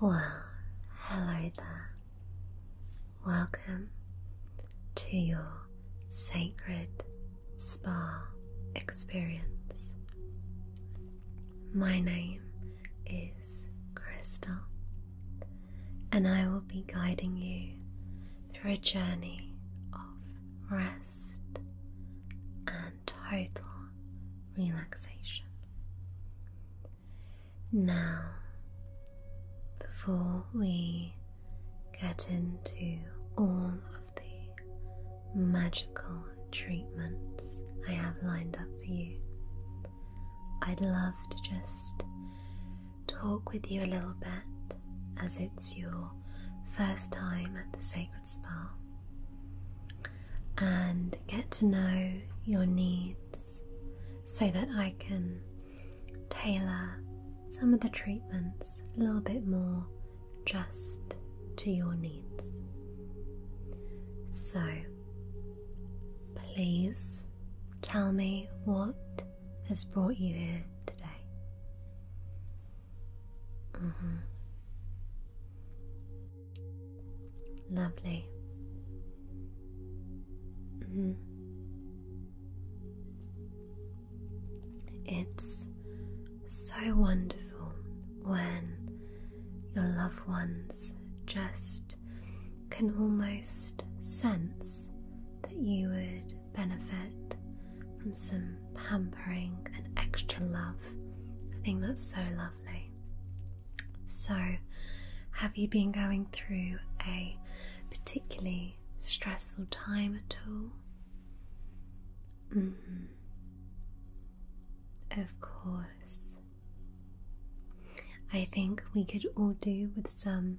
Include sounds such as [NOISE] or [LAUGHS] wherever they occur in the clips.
Well, hello there. Welcome to your sacred spa experience. My name is Crystal, and I will be guiding you through a journey of rest and total relaxation. Now, before we get into all of the magical treatments I have lined up for you, I'd love to just talk with you a little bit as it's your first time at the Sacred Spa and get to know your needs so that I can tailor some of the treatments a little bit more just to your needs. So, please tell me what has brought you here today. Mm-hmm. Lovely. Mm-hmm. It's so wonderful when your loved ones just can almost sense that you would benefit from some pampering, and extra love. I think that's so lovely. So, have you been going through a particularly stressful time at all? Mm-hmm. Of course. I think we could all do with some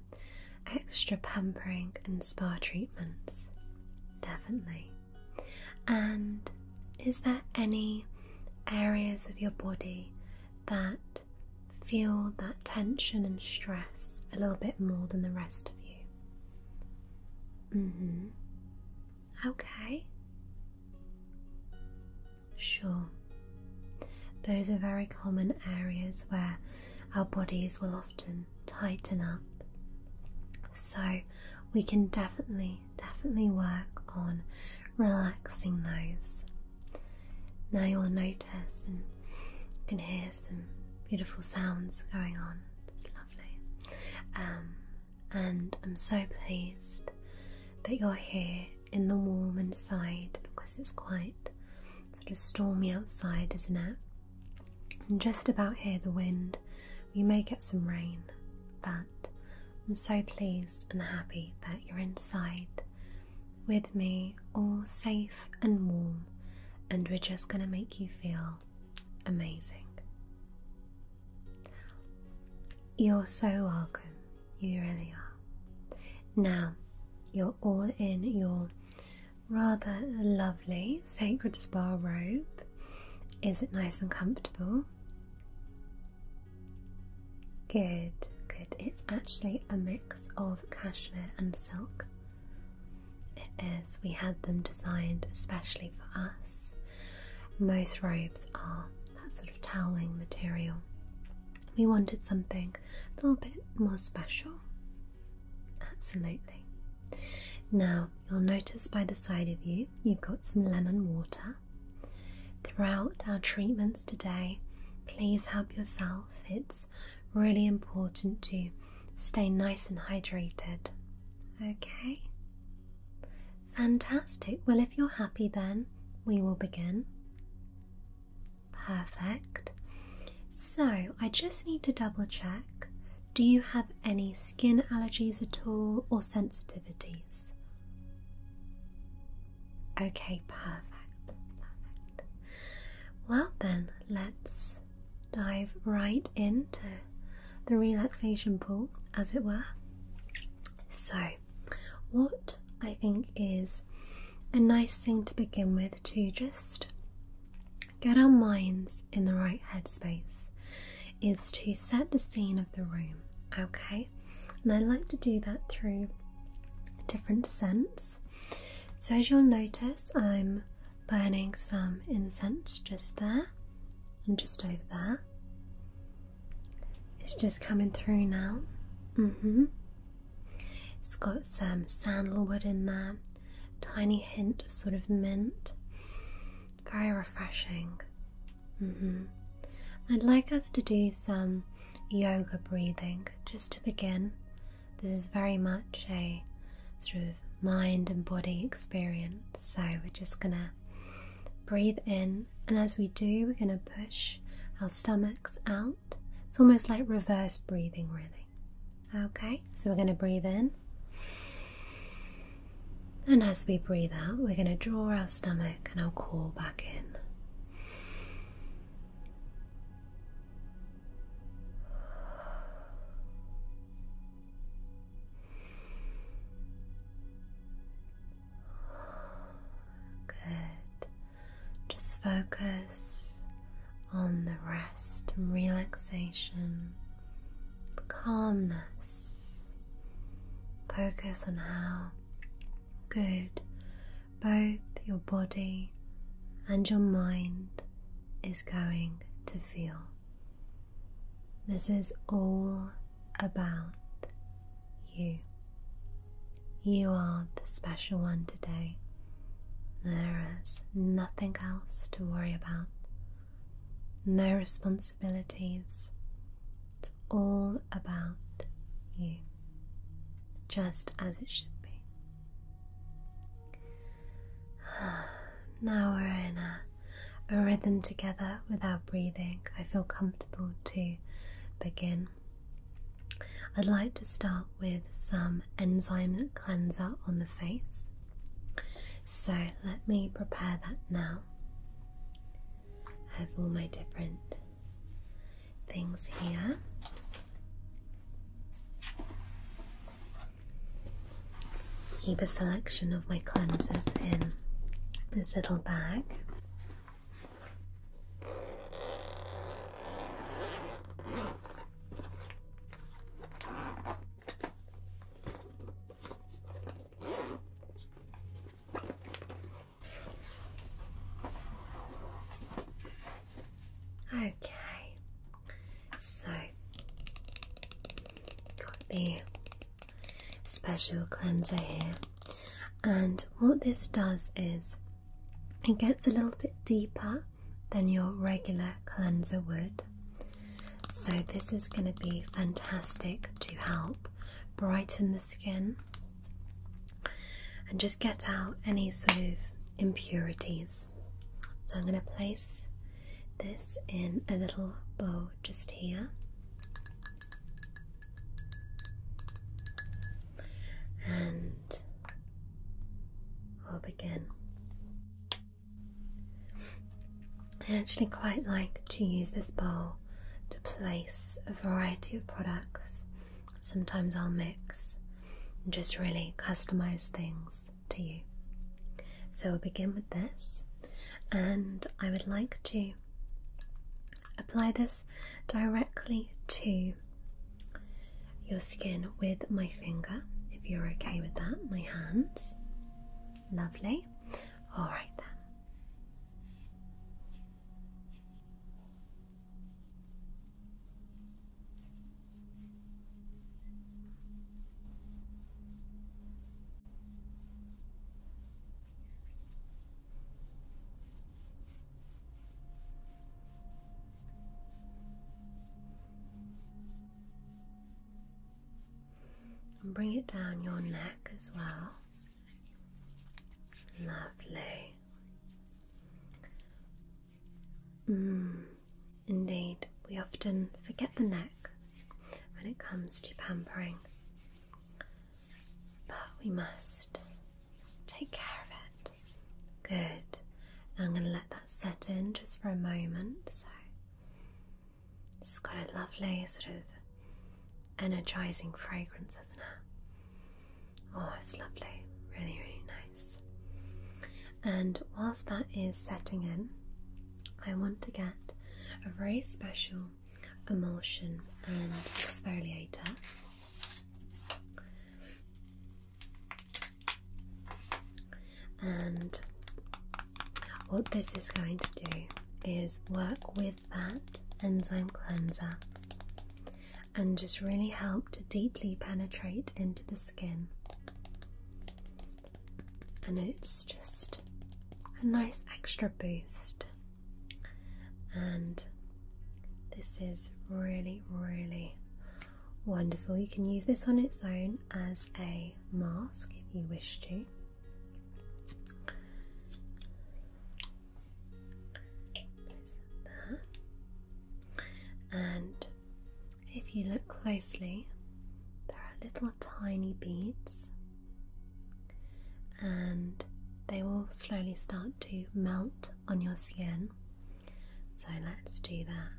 extra pampering and spa treatments. Definitely. And is there any areas of your body that feel that tension and stress a little bit more than the rest of you? Mm hmm. Okay. Sure. Those are very common areas where our bodies will often tighten up. So, we can definitely definitely work on relaxing those. Now you'll notice and you can hear some beautiful sounds going on. It's lovely. Um, and I'm so pleased that you're here in the warm inside because it's quite sort of stormy outside, isn't it? And just about here, the wind you may get some rain, but I'm so pleased and happy that you're inside with me, all safe and warm, and we're just going to make you feel amazing. You're so welcome, you really are. Now, you're all in your rather lovely lovely sacred spa robe. Is it nice and comfortable? Good, good. It's actually a mix of cashmere and silk. It is. We had them designed especially for us. Most robes are that sort of toweling material. We wanted something a little bit more special. Absolutely. Now, you'll notice by the side of you, you've got some lemon water. Throughout our treatments today, please help yourself. It's really important to stay nice and hydrated. Okay? Fantastic. Well, if you're happy, then we will begin. Perfect. So, I just need to double check do you have any skin allergies at all or sensitivities? Okay, perfect. Well, then, let's dive right into the relaxation pool, as it were. So, what I think is a nice thing to begin with to just get our minds in the right headspace is to set the scene of the room, okay? And I like to do that through different scents. So, as you'll notice, I'm burning some incense just there and just over there. It's just coming through now. Mm hmm. It's got some sandalwood in there, tiny hint of sort of mint very refreshing. Mm-hmm. I'd like us to do some yoga breathing just to begin. This is very much a sort of mind and body experience, so we're just gonna breathe in, and as we do, we're gonna push our stomachs out. It's almost like reverse breathing, really. Okay, so we're gonna breathe in and as we breathe out, we're going to draw our stomach and our core back in. Good. Just focus on the rest and relaxation calmness. Focus on how good both your body and your mind is going to feel. This is all about you. You are the special one today. There is nothing else to worry about. No responsibility it's all about you, just as it should be. [SIGHS] Now we're in a, rhythm together without breathing. I feel comfortable to begin. I'd like to start with some enzyme cleanser on the face. So let me prepare that now. I have all my different things here. Keep a selection of my cleansers in this little bag. Okay, so got the special cleanser here, and what this does is it gets a little bit deeper than your regular cleanser would, so, this is going to be fantastic to help brighten the skin and just get out any sort of impurities. So, I'm going to place this in a little bow just here. And we'll begin. I actually quite like to use this bowl to place a variety of products. Sometimes I'll mix and just really customize things to you. So we'll begin with this, and I would like to apply this directly to your skin with my finger, if you're okay with that, my hands. Lovely. All right then and bring it down your neck as well. Lovely. Mm, indeed, we often forget the neck when it comes to pampering, but we must take care of it. Good. I'm going to let that set in just for a moment. So it's got a lovely sort of energizing fragrance, isn't it? Oh, it's lovely. Really, really nice. And whilst that is setting in, I want to get a very special emulsion and exfoliator and what this is going to do is work with that enzyme cleanser and just really help to deeply penetrate into the skin. And it's just a nice extra boost. And this is really, really wonderful. You can use this on its own as a mask if you wish to. And if you look closely, there are little tiny beads, and they will slowly start to melt on your skin. So let's do that.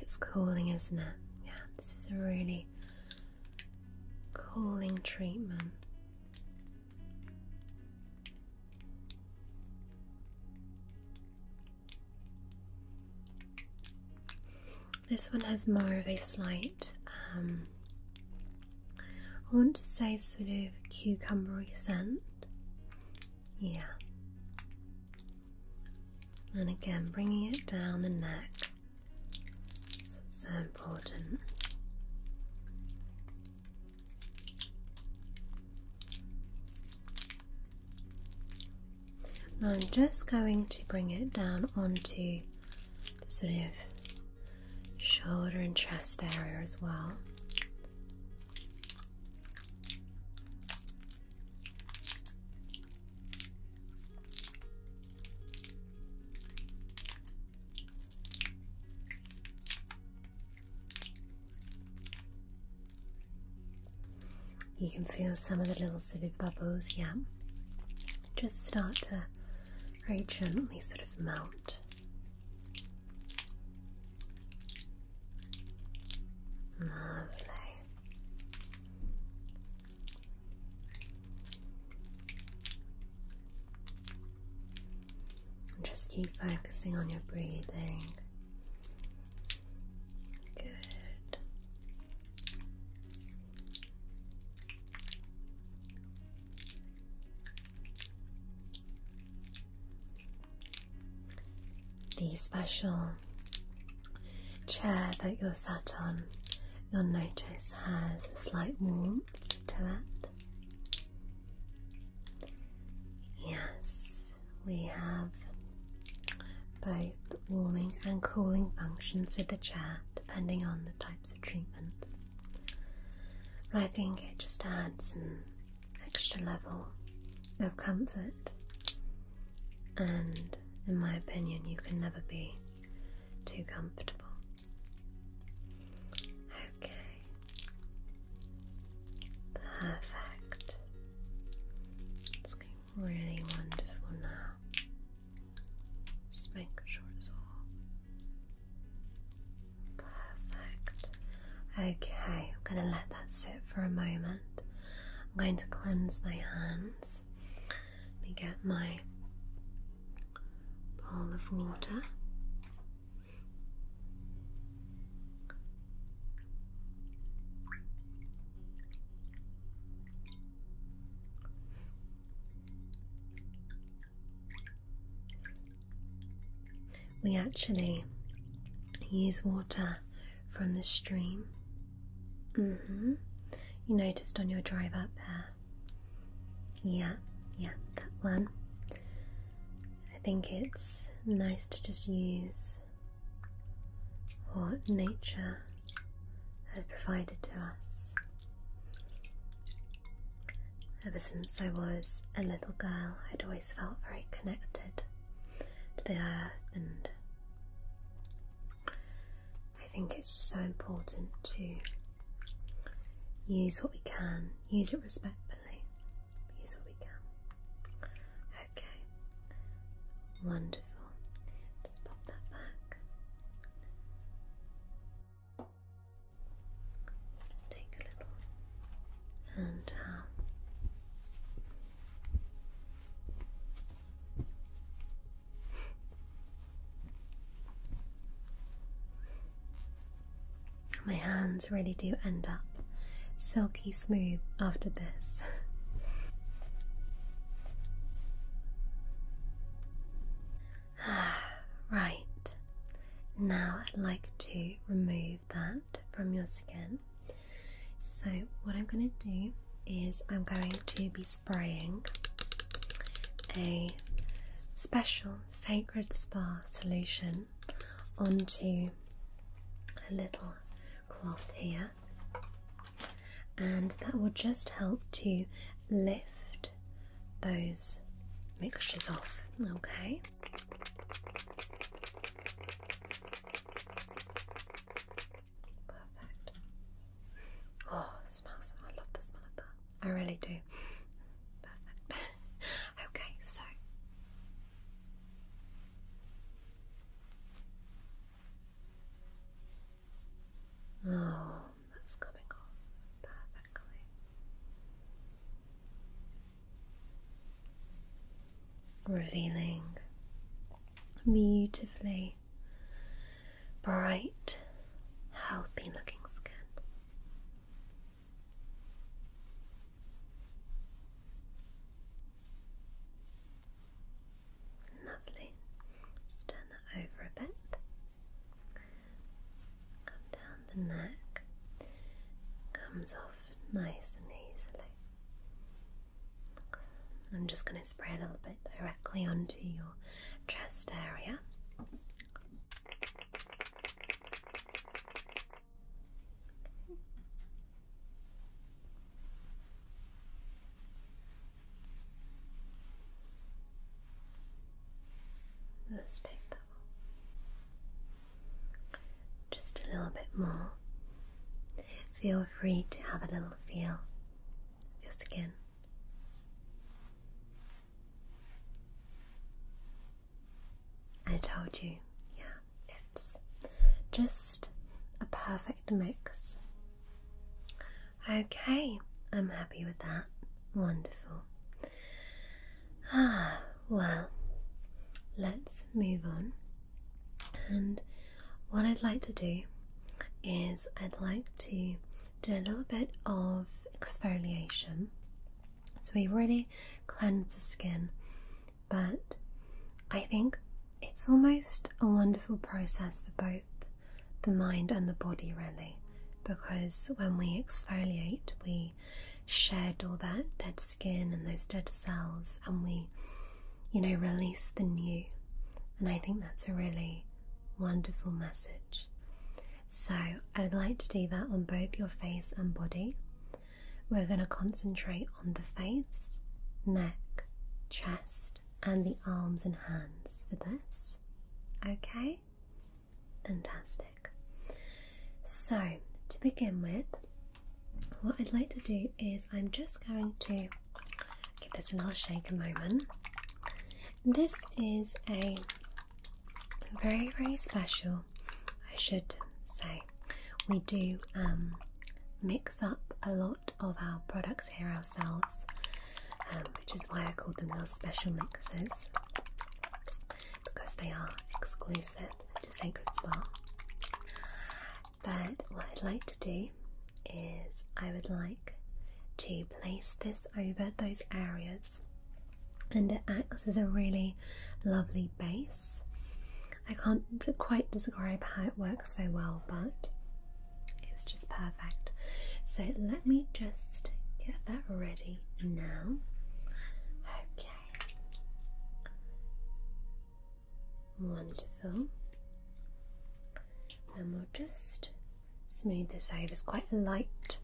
It's cooling, isn't it? Yeah, this is a really cooling treatment. This one has more of a slight, um, I want to say, sort of cucumbery scent. Yeah. And again, bringing it down the neck. so important. I'm just going to bring it down onto the sort of shoulder and chest area as well. You can feel some of the little sort of bubbles, yeah just start to very gently sort of melt. Lovely. And just keep focusing on your breathing. Good. The special chair that you're sat on, you'll notice has a slight warmth to it. Yes, we have both warming and cooling functions with the chair depending on the types of treatments. I think it just adds an extra level of comfort, and in my opinion, you can never be too comfortable. Okay, perfect really wonderful now. Just making sure it's all perfect. Okay, I'm going to let that sit for a moment. I'm going to cleanse my hands. Let me get my bowl of water. We actually use water from the stream. Mm hmm. You noticed on your drive up there. Yeah, yeah, that one. I think it's nice to just use what nature has provided to us. Ever since I was a little girl, I'd always felt very connected to the earth, and I think it's so important to use what we can, use it respectfully, use what we can. Okay, wonderful. Just pop that back. Take a little hand My hands really do end up silky smooth after this. [SIGHS] right, now I'd like to remove that from your skin. So, what I'm going to do is I'm going to be spraying a special sacred spa solution onto a little cloth here and that will just help to lift those mixtures off. Okay. Perfect. Oh, smells! I love the smell of that. I really do. Perfect. [LAUGHS] okay, so. Oh, that's coming off perfectly. Revealing beautifully bright, healthy looking skin. Lovely. Just turn that over a bit. down the neck. Comes off nice and easily. I'm just going to spray a little bit directly onto your chest area. Just a little bit more. Feel free to have a little feel of your skin. I told you, yeah, it's just a perfect mix Okay, I'm happy with that. Wonderful. Ah, well, let's move on. And what I'd like to do is I'd like to do a little bit of exfoliation. So we really cleanse the skin, but I think it's almost a wonderful process for both the mind and the body, really, because when we exfoliate, we shed all that dead skin and those dead cells, and we, you know, release the new. And I think that's a really wonderful message. So, I would like to do that on both your face and body. We're going to concentrate on the face, neck, chest, and the arms and hands for this. Okay? Fantastic. So, to begin with, what I'd like to do is I'm just going to give this a little shake a moment. This is a very, very special, I should say. We do um, mix up a lot of our products here ourselves, um, which is why I call them our special mixes because they are exclusive to Sacred Spa. But what I'd like to do is I would like to place this over those areas and it acts as a really lovely base. I can't quite describe how it works so well, but it's just perfect. So let me just get that ready now. Okay. Wonderful. And we'll just smooth this over. It's quite a light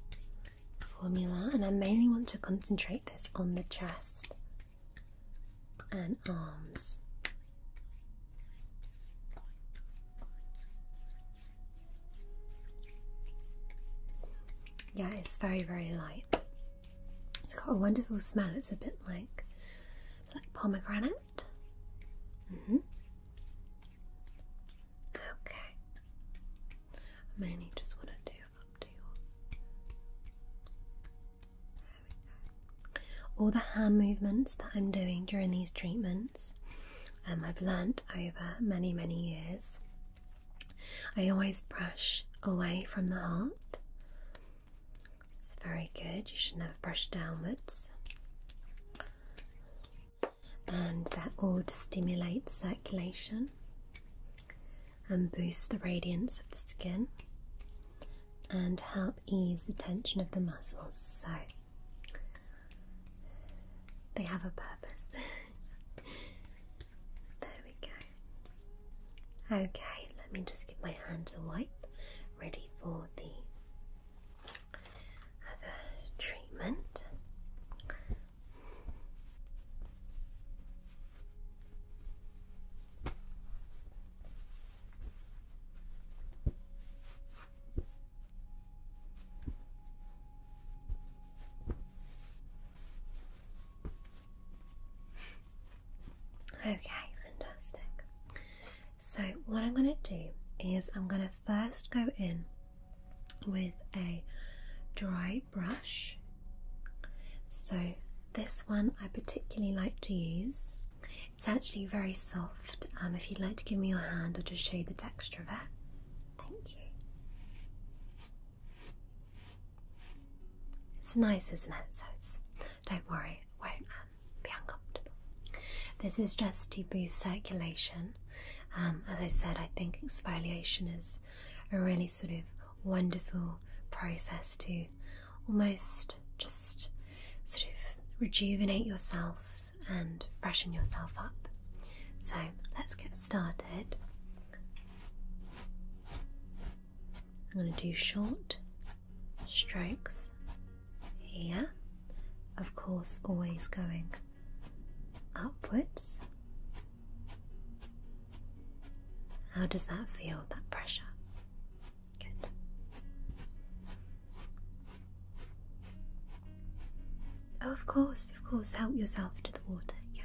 formula, and I mainly want to concentrate this on the chest and arms. Yeah, it's very, very light. It's got a wonderful smell. It's a bit like, like pomegranate. Mm-hmm. Okay. I mainly just want to do up to your all the hand movements that I'm doing during these treatments, um, I've learnt over many, many years. I always brush away from the heart. It's very good, you should never brush downwards. And that all to stimulate circulation and boost the radiance of the skin and help ease the tension of the muscles. So they have a purpose. [LAUGHS] there we go. Okay, let me just give my hands a wipe, ready for the other treatment. Okay, fantastic. So, what I'm going to do is I'm going to first go in with a dry brush. So, this one I particularly like to use it's actually very soft. Um, if you'd like to give me your hand, I'll just show you the texture of it. Thank you. It's nice, isn't it? So it's, don't worry, won't um, be uncomfortable. This is just to boost circulation. Um, as I said, I think exfoliation is a really sort of wonderful process to almost just sort of rejuvenate yourself and freshen yourself up. So let's get started. I'm going to do short strokes here, of course, always going upwards. How does that feel, that pressure? Good. Oh, of course, of course. Help yourself to the water, yeah.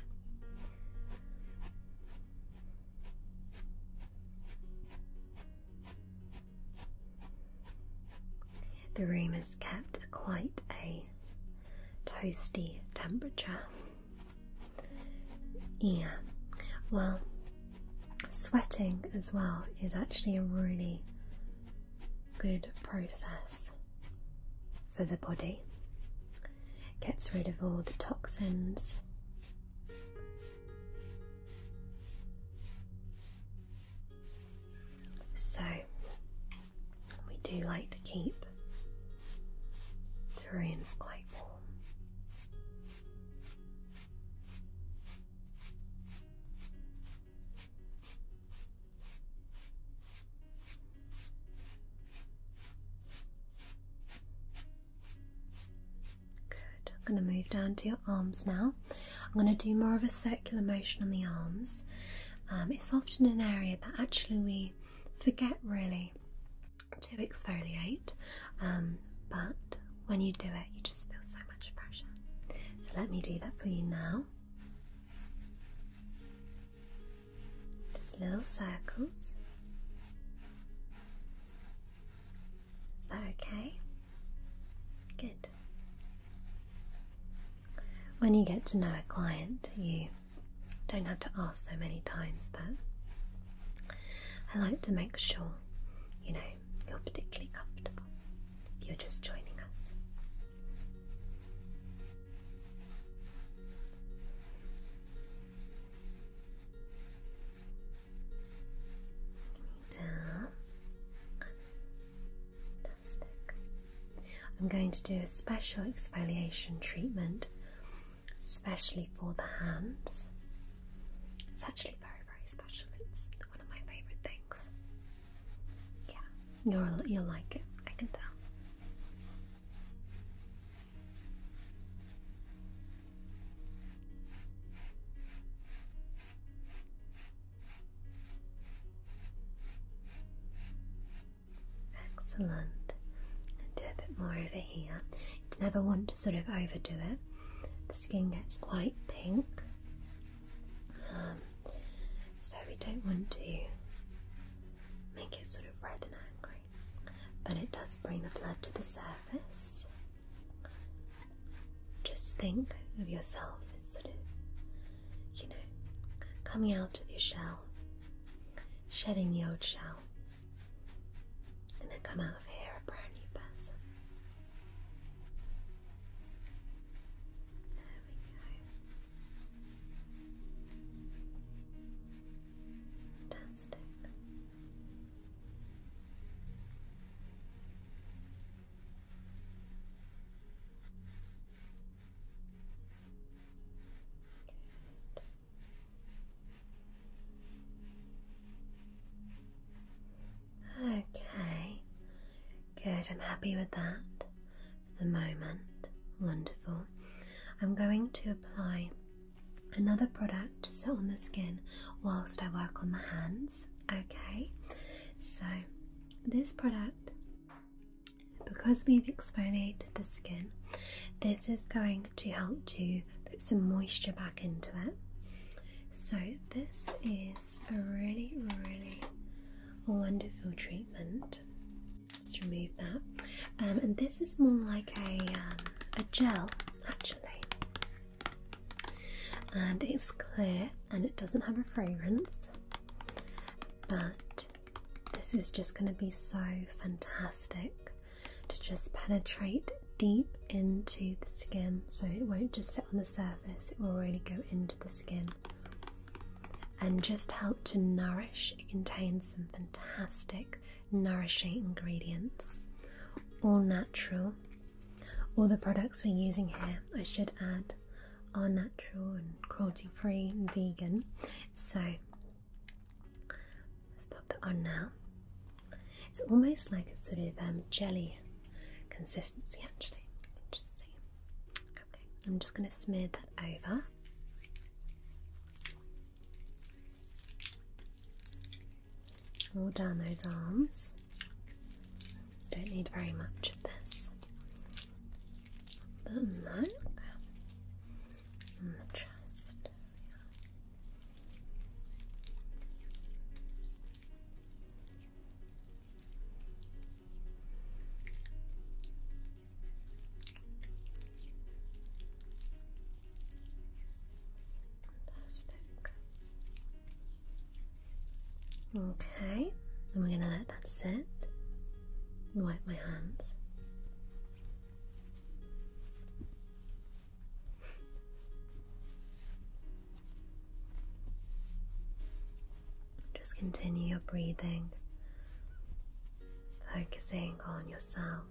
The room is kept at quite a toasty temperature. Yeah, well, Sweating as well is actually a really good process for the body. Gets rid of all the toxins. So, we do like to keep the rooms quite warm. Good. I'm going to move down to your arms now. I'm going to do more of a circular motion on the arms. Um, it's often an area that actually we forget really to exfoliate, um, but when you do it, you just feel so pressure. So let me do that for you now. Just little circles. Is that okay? Good. When you get to know a client, you don't have to ask so many times, but I like to make sure you know you're particularly comfortable. You're just joining us. Down. Fantastic. I'm going to do a special exfoliation treatment, especially for the hands. It's actually very, very special. It's one of my favorite things. Yeah, you'll you'll like it. I can tell. Excellent. do a bit more over here. never want to sort of overdo it. The skin gets quite pink um, so we don't want to make it sort of red and angry, but it does bring the blood to the surface. Just think of yourself as sort of, you know, coming out of your shell, shedding the old shell, and then come out of here a brand new person. Fantastic. Good. Okay, good. I'm happy with that for the moment. Wonderful. I'm going to apply another product so on the skin whilst I work on the hands. Okay, so this product, because we've exfoliated the skin, this is going to help to put some moisture back into it. So, this is a really, really wonderful treatment. Let's remove that. Um, and this is more like a, um, a gel, actually. And it's clear and it doesn't have a fragrance, but this is just going to be so fantastic to just penetrate deep into the skin so it won't just on the surface, it will really go into the skin and just help to nourish. It contains some fantastic, nourishing ingredients, all natural. All the products we're using here, I should add, are natural and cruelty free and vegan. So let's pop that on now. It's almost like a sort of um, jelly consistency, actually. Okay, I'm just going to smear that over. All down those arms. Don't need very much of this. The neck the chest. Okay, and we're gonna let that sit and wipe my hands. Just continue your breathing, focusing on yourself,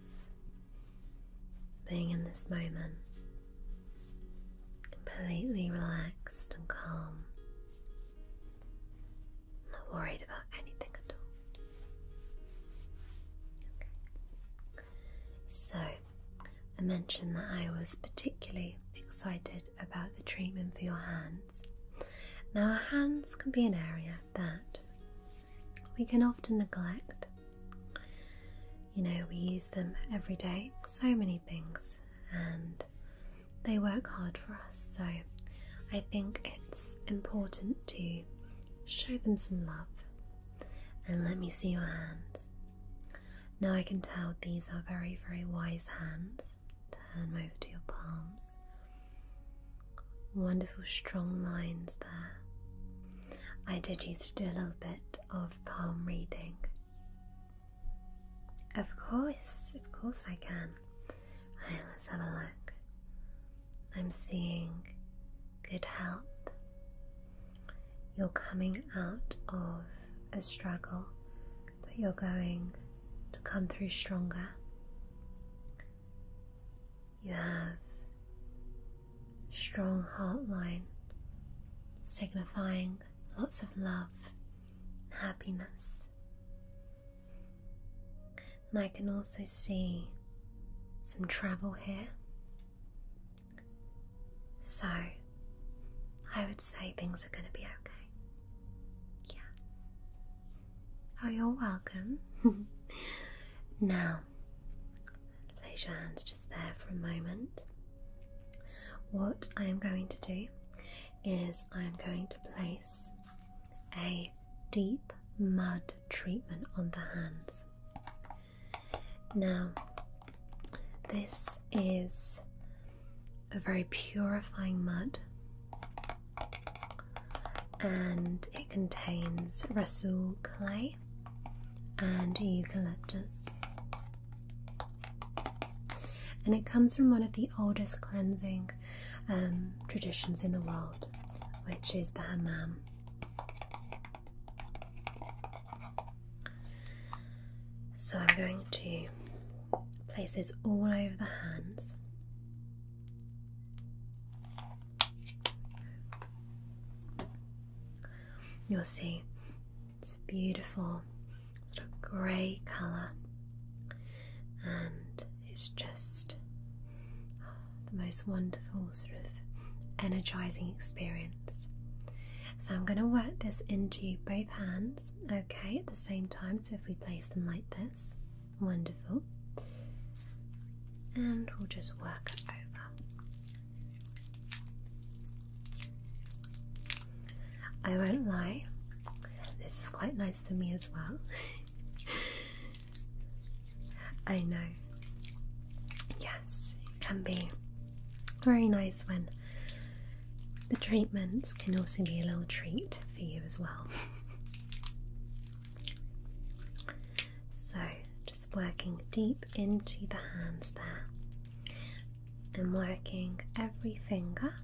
being in this moment, completely relaxed and calm, not worried about anything at all. Okay. So, I mentioned that I was particularly excited about the treatment for your hands. Now, our hands can be an area that we can often neglect. You know, we use them every day, so many things, and they work hard for us. So, I think it's important to show them some love. And let me see your hands. Now I can tell these are very, very wise hands. Turn over to your palms. Wonderful strong lines there. I did used to do a little bit of palm reading. Of course, of course I can. Right, let's have a look. I'm seeing good help, you're coming out of a struggle, but you're going to come through stronger. You have strong heart line signifying lots of love and happiness. And I can also see some travel here. So, I would say things are going to be okay. Yeah. Oh, you're welcome. [LAUGHS] now, place your hands just there for a moment. What I am going to do is I am going to place a deep mud treatment on the hands. Now, this is a very purifying mud, and it contains rasool clay and eucalyptus. And it comes from one of the oldest cleansing um, traditions in the world, which is the hammam. So I'm going to place this all over the hands. You'll see it's a beautiful sort of grey colour and it's just the most wonderful sort of energizing experience. So I'm going to work this into both hands, okay, at the same time. So if we place them like this, wonderful. And we'll just work over. I won't lie, this is quite nice to me as well. [LAUGHS] I know. Yes, can be very nice when the treatments can also be a little treat for you as well. so, just working deep into the hands there and working every finger.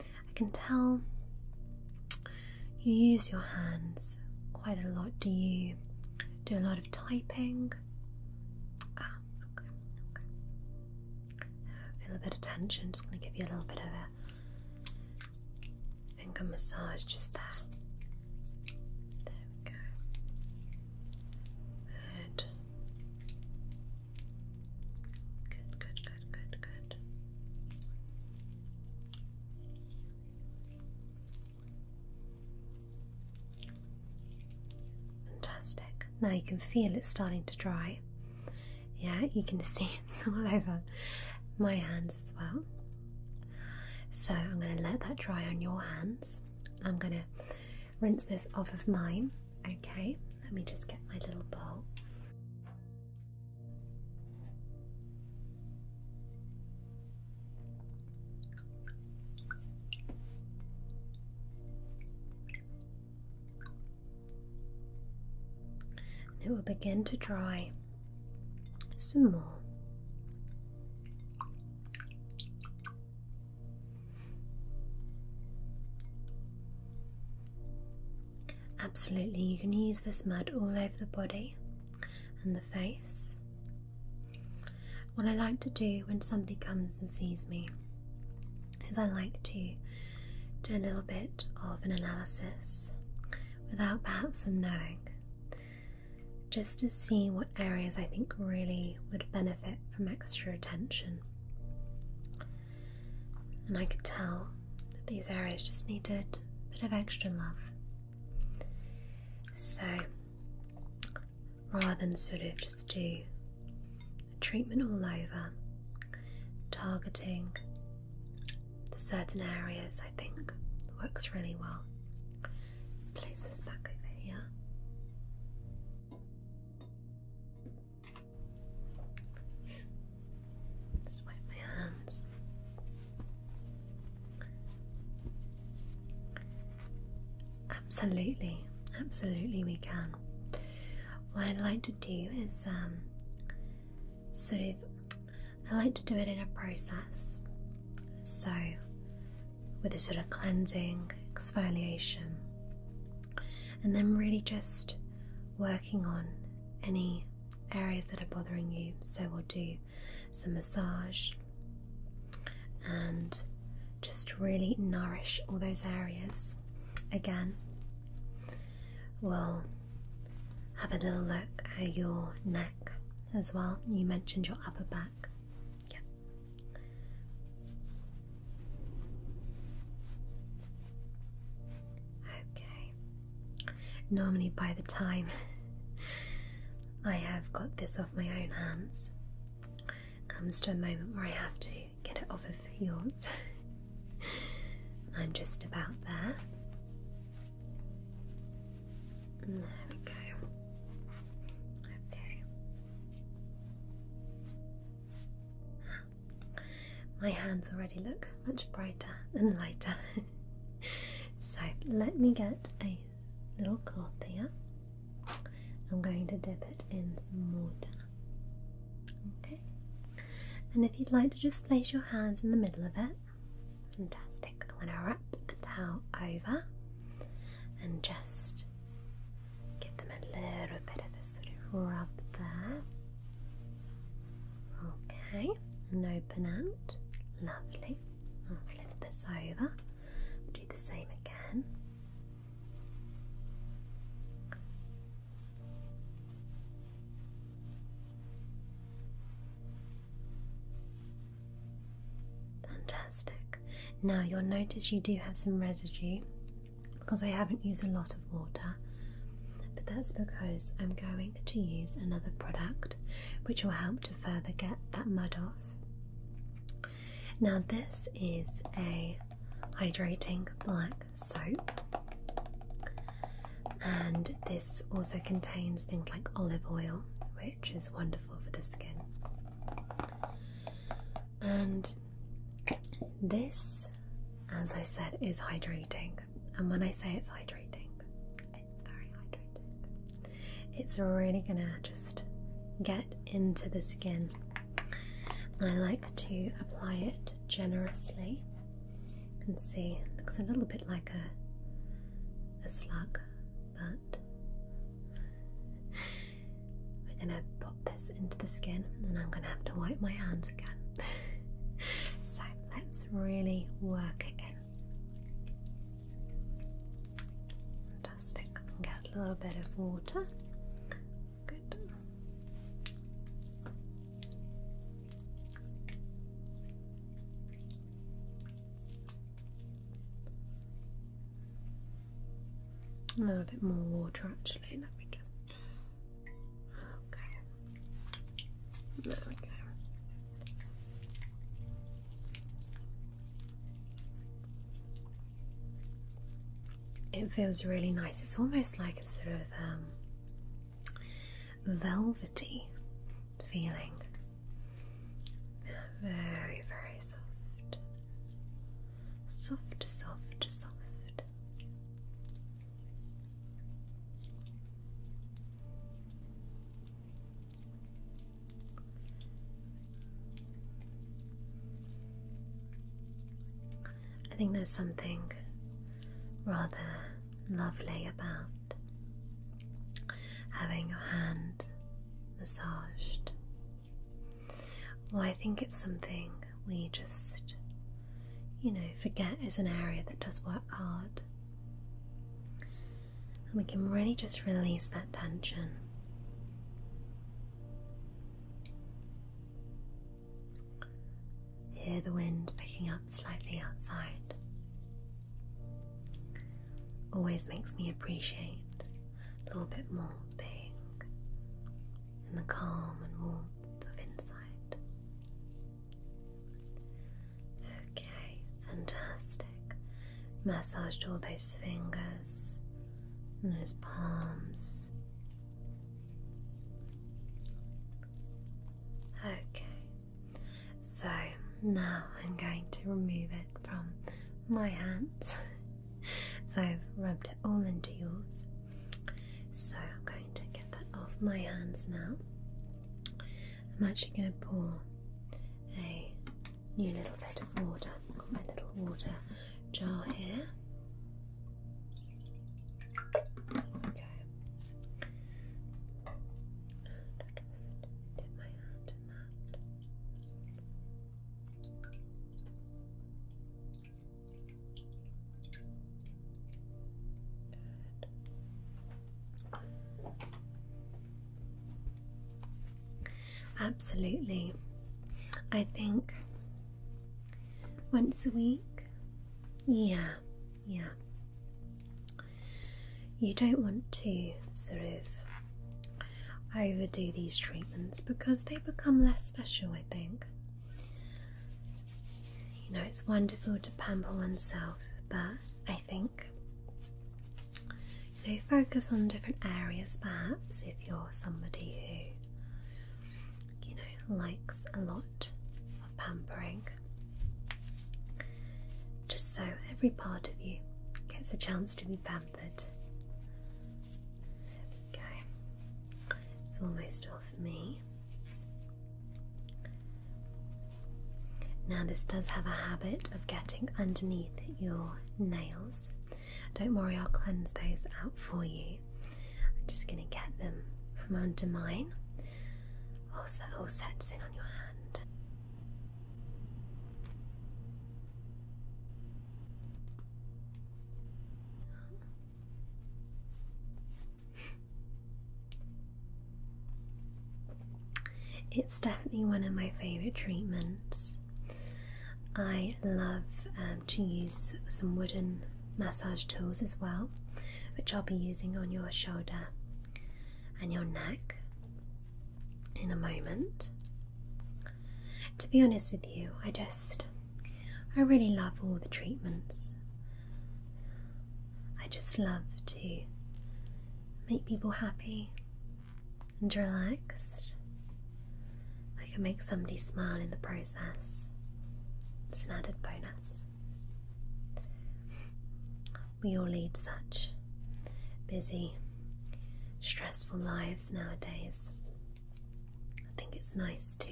I can tell you use your hands quite a lot. Do you do a lot of typing? Ah, okay, Feel a bit of tension, just going to give you a little bit of a finger massage just there. There we go. Good. Good, good, good, good, good. Fantastic. Now you can feel it starting to dry. Yeah, you can [LAUGHS] see it's all over my hands as well. So I'm going to let that dry on your hands. I'm going to rinse this off of mine Okay, let me just get my little bowl. it will begin to dry some more. Absolutely, you can use this mud all over the body and the face. What I like to do when somebody comes and sees me is I like to do a little bit of an analysis without perhaps them knowing, just to see what areas I think really would benefit from extra attention and I could tell that these areas just needed a bit of extra love. So, rather than sort of just do a treatment all over, targeting the certain areas I think works really well. let place this back over here wipe my hands. Absolutely, absolutely, we can. What I would like to do is um, sort of, I like to do it in a process. So, with a sort of cleansing, exfoliation, and then really just working on any areas that are bothering you. So, we'll do some massage and just really nourish all those areas. Again, we'll have a little look at your neck as well. You mentioned your upper back. Yeah. Okay. Normally, by the time I have got this off my own hands, comes to a moment where I have to get it off of yours. [LAUGHS] I'm just about there. There we go. Okay. [SIGHS] My hands already look much brighter and lighter. [LAUGHS] so let me get a little cloth here. I'm going to dip it in some water. Okay. And if you'd like to just place your hands in the middle of it, fantastic. I'm going to wrap the towel over and just Give them a little bit of a sort of rub there. Okay, and open out. Lovely. flip this over. Do the same again. Fantastic. Now you'll notice you do have some residue because I haven't used a lot of water, but that's because I'm going to use another product which will help to further get that mud off. Now, this is a hydrating black soap, and this also contains things like olive oil, which is wonderful for the skin. And this, as I said, is hydrating, and when I say it's hydrating, it's very hydrating. It's really gonna just get into the skin. I like to apply it generously. and see it looks a little bit like a a slug, but we're gonna pop this into the skin and I'm gonna have to wipe my hands again. [LAUGHS] so let's really work it in. Fantastic. Get a little bit of water. Good. A little bit more water actually, let me just Okay. Okay. It feels really nice. It's almost like a sort of um, velvety feeling. Very, very soft. Soft, soft, soft. I think there's something rather lovely about having your hand massaged well, I think it's something we just, you know, forget is an area that does work hard. And we can really just release that tension. Hear the wind picking up slightly outside. Always makes me appreciate a little bit more being in the calm and warmth of insight. Okay, fantastic. Massaged all those fingers and those palms. Okay, so now I'm going to remove it from my hands [LAUGHS] [LAUGHS] so I've rubbed it all into yours. So I'm going to get that off my hands now. I'm actually going to pour a new little bit of water. got my little water jar here. There we go. Just dip my hand in that. Absolutely. I think once a week. Yeah, yeah. You don't want to sort of overdo these treatments because they become less special, I think. You know, it's wonderful to pamper oneself, but I think you know, focus on different areas perhaps if you're somebody who you know likes a lot of pampering. Just so every part of you gets a chance to be pampered. Okay, it's almost off me. Now, this does have a habit of getting underneath your nails. Don't worry, I'll cleanse those out for you. I'm just going to get them from under mine whilst that all sets in on your hand. It's definitely one of my favorite treatments. I love um, to use some wooden massage tools as well, which I'll be using on your shoulder and your neck in a moment. To be honest with you, I just I really love all the treatments. I just love to make people happy and relaxed. I can make somebody smile in the process. It's an added bonus. We all lead such busy, stressful lives nowadays. I think it's nice to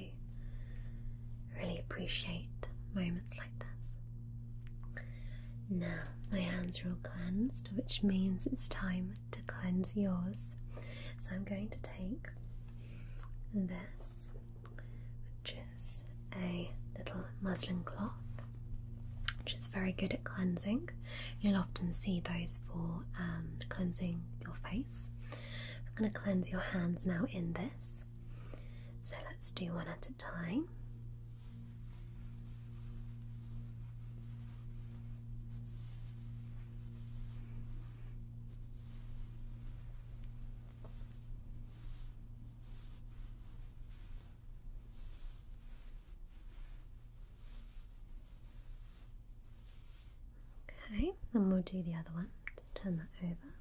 really appreciate moments like this. Now, my hands are all cleansed, which means it's time to cleanse yours. So, I'm going to take this, which is a little muslin cloth, which is very good at cleansing. You'll often see those for um, cleansing your face I'm going to cleanse your hands now in this. So let's do one at a time. Okay, and we'll do the other one. Just turn that over.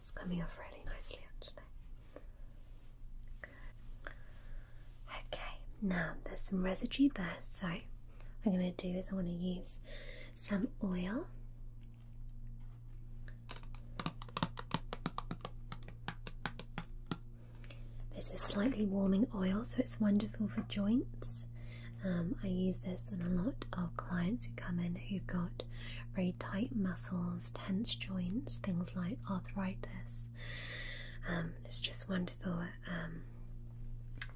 It's coming off really nicely actually. Okay, now there's some residue there, so I'm going to do is I want to use some oil. This is slightly warming oil, so it's wonderful for joints. Um, I use this on a lot of clients who come in who've got very tight muscles, tense joints, things like arthritis. Um, it's just wonderful, um,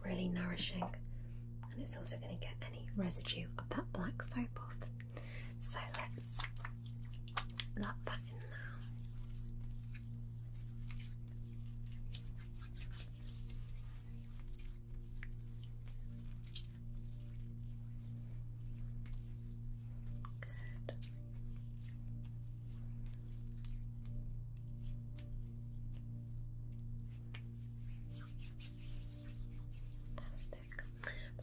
really nourishing, and it's also going to get any residue of that black soap off. So let's rub that in now. Good. Fantastic. I'm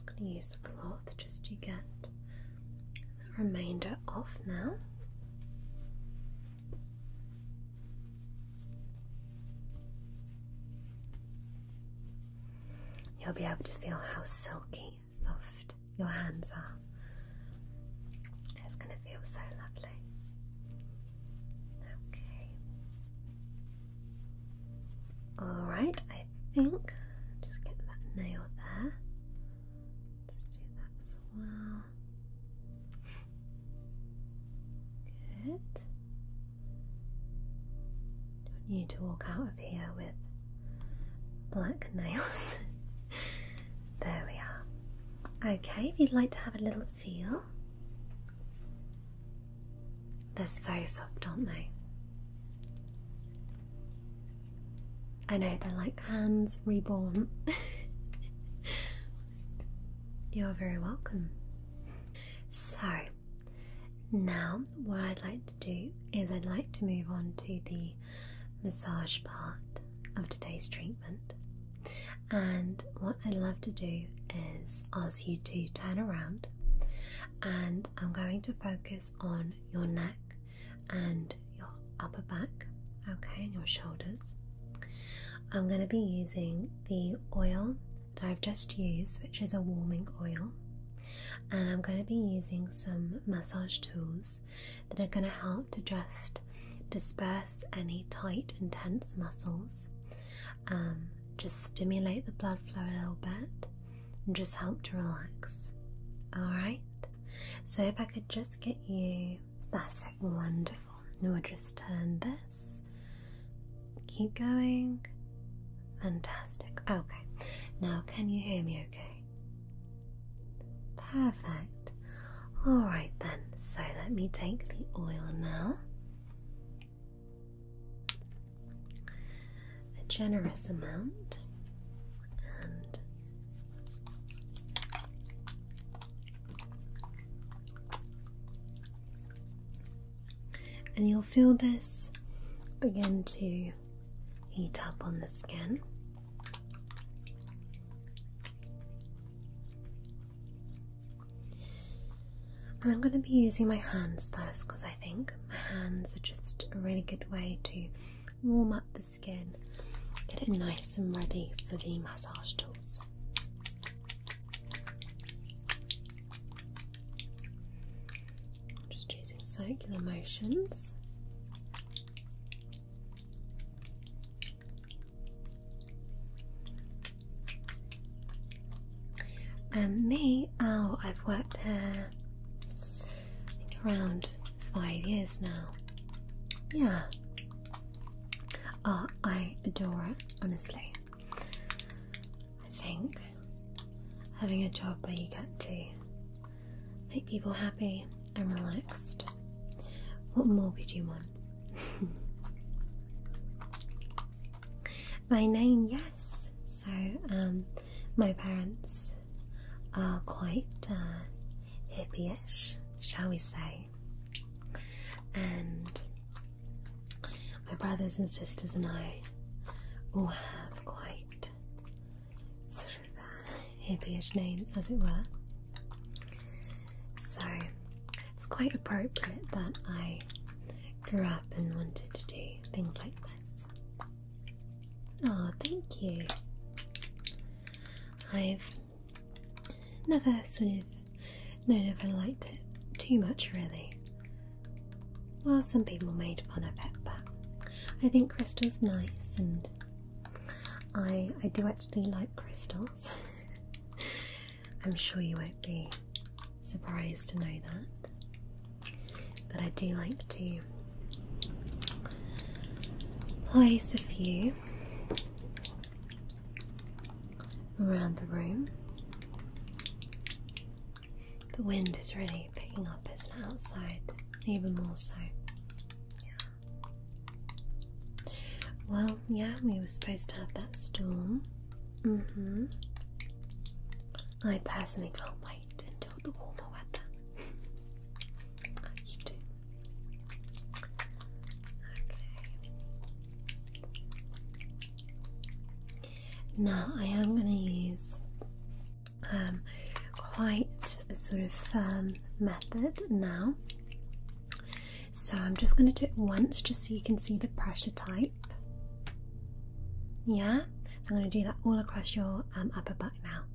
going to use the cloth just to get the remainder off now. You'll be able to feel how silky, soft your hands are. It's going to feel so lovely. Okay. Alright, I think. Just get that nail there let do that as well. Good. Don't need to walk out of here with black nails. [LAUGHS] there we are. Okay, if you'd like to have a little feel. They're so soft, aren't they? I know they're like hands reborn. You're very welcome. So, now what I'd like to do is I'd like to move on to the massage part of today's treatment. And what I'd love to do is ask you to turn around and I'm going to focus on your neck and your upper back, okay, and your shoulders. I'm going to be using the oil that I've just used, which is a warming oil, and I'm going to be using some massage tools that are going to help to just disperse any tight and tense muscles, um, just stimulate the blood flow a little bit, and just help to relax. Alright, so if I could just get you. That's it, wonderful. Now just turn this. Keep going. Fantastic. Okay, now can you hear me okay? Perfect. Alright then, so let me take the oil now. A generous amount. And and you'll feel this begin to heat up on the skin. And I'm going to be using my hands first because I think my hands are just a really good way to warm up the skin. Get it nice and ready for the massage tools. just using circular motions. And um, me, oh, I've worked here around five years now. Yeah. Uh, I adore it, honestly. I think having a job where you get to make people happy and relaxed, what more could you want? [LAUGHS] My name, yes. So, um, my parents are quite uh, hippie-ish, shall we say. And my brothers and sisters and I all have quite sort of uh, hippie-ish names, as it were. So it's quite appropriate that I grew up and wanted to do things like this. Oh, thank you. I've never sort of known if I liked it too much, really. Well, some people made fun of it, but I think crystals are nice, and I I do actually like crystals. [LAUGHS] I'm sure you won't be surprised to know that. But I do like to place a few around the room. The wind is really picking up, isn't outside? Even more so. Well, yeah, we were supposed to have that storm. Mm-hmm. I personally can't wait wait until the warmer weather. you Now I am going to use um, quite a sort of firm method now. So I'm just going to do it once just so you can see the pressure type. Yeah? So I'm going to do that all across your um, upper back now.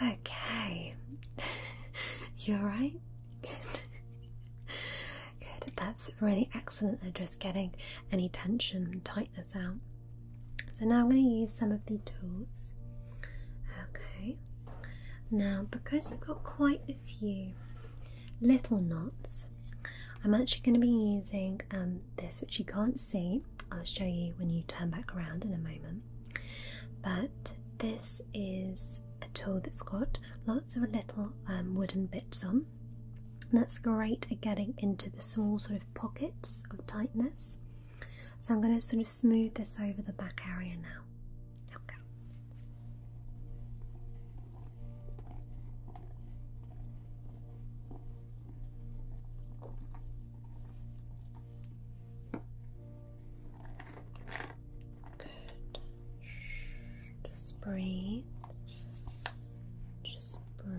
Okay. [LAUGHS] you are right. [LAUGHS] Good. That's really excellent at just getting any tension tightness out. So now I'm going to use some of the tools. Okay. Now, because you've got quite a few little knots, I'm actually going to be using um, this, which you can't see, I'll show you when you turn back around in a moment. But this is a tool that's got lots of little um, wooden bits on. And that's great at getting into the small sort of pockets of tightness. So I'm going to sort of smooth this over the back area now. Okay. Good. Just breathe. Just breathe.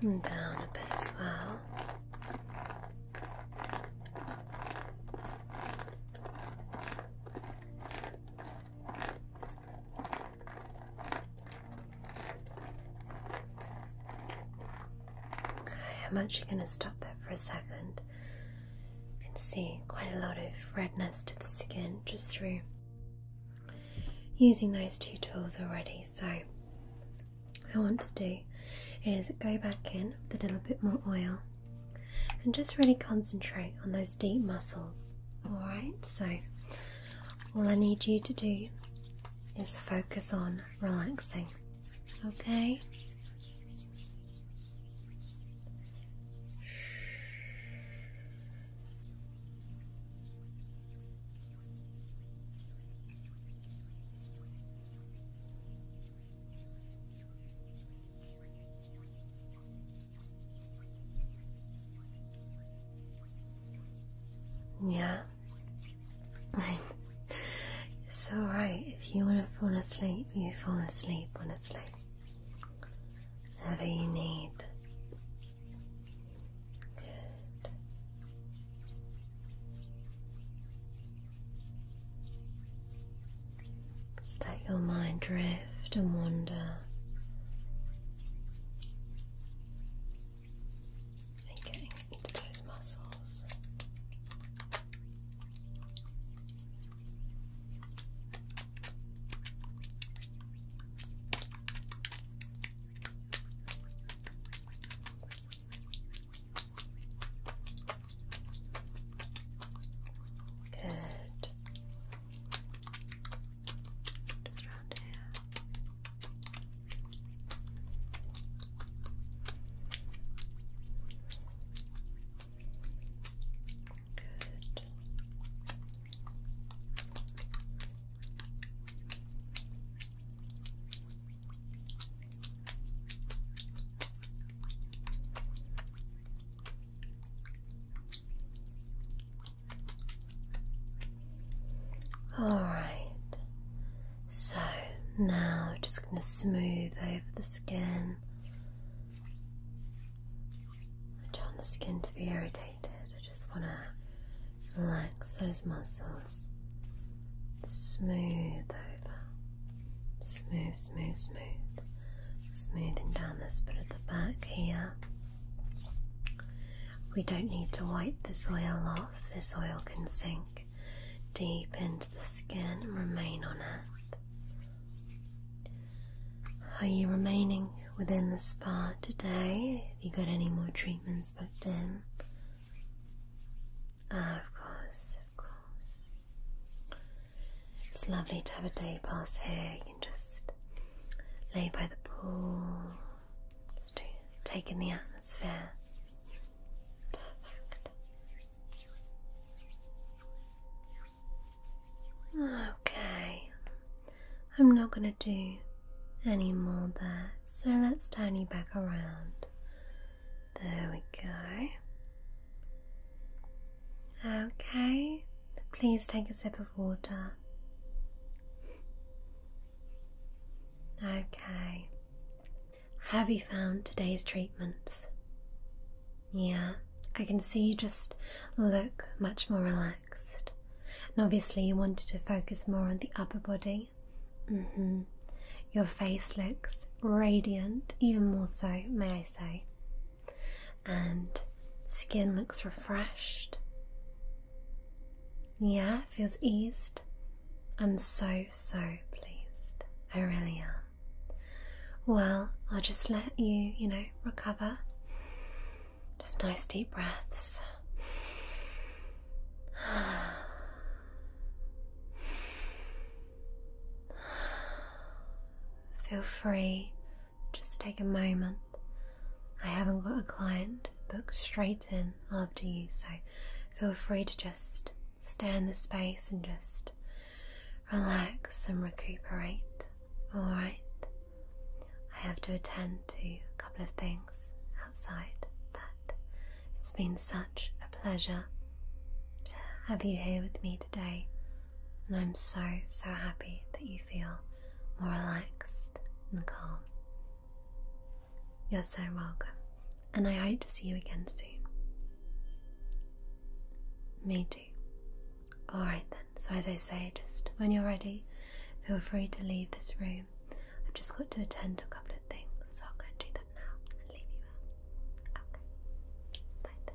down a bit as well. Okay, I'm actually going to stop there for a second you can see quite a lot of redness to the skin just through using those two tools already. So, what I want to do is go back in with a little bit more oil and just really concentrate on those deep muscles. Alright, so all I need you to do is focus on relaxing. Okay? Yeah. [LAUGHS] it's alright. If you want to fall asleep, you fall asleep when it's late whatever you need. Just let your mind drift and wander. And getting into those muscles. Good. Just round here. Good. All right, so now we're just going to smooth over the skin I don't want the skin to be irritated. I just want to relax those muscles. Smooth over. Smooth, smooth, smooth. Smoothing down this bit at the back here. We don't need to wipe this oil off. This oil can sink deep into the skin and remain on it. Are you remaining within the spa today? Have you got any more treatments booked in? Ah, of course, of course. It's lovely to have a day pass here. You can just lay by the pool, just take in the atmosphere. Perfect. Okay, I'm not going to do any more there, so let's turn you back around. There we go. Okay, please take a sip of water. Okay, have you found today's treatments? Yeah, I can see you just look much more relaxed. And obviously, you wanted to focus more on the upper body. Mm hmm. Your face looks radiant, even more so, may I say. And skin looks refreshed. Yeah, feels eased. I'm so, so pleased. I really am. Well, I'll just let you, you know, recover. Just nice deep breaths. Feel free, just take a moment. I haven't got a client booked straight in after you, so feel free to just stay in the space and just relax and recuperate. Alright, I have to attend to a couple of things outside, but it's been such a pleasure to have you here with me today, and I'm so, so happy that you feel more relaxed and calm. You're so welcome, and I hope to see you again soon. Me too. Alright then, so as I say, just when you're ready, feel free to leave this room. I've just got to attend to a couple of things, so I'll go and do that now and leave you out. Okay. Bye then.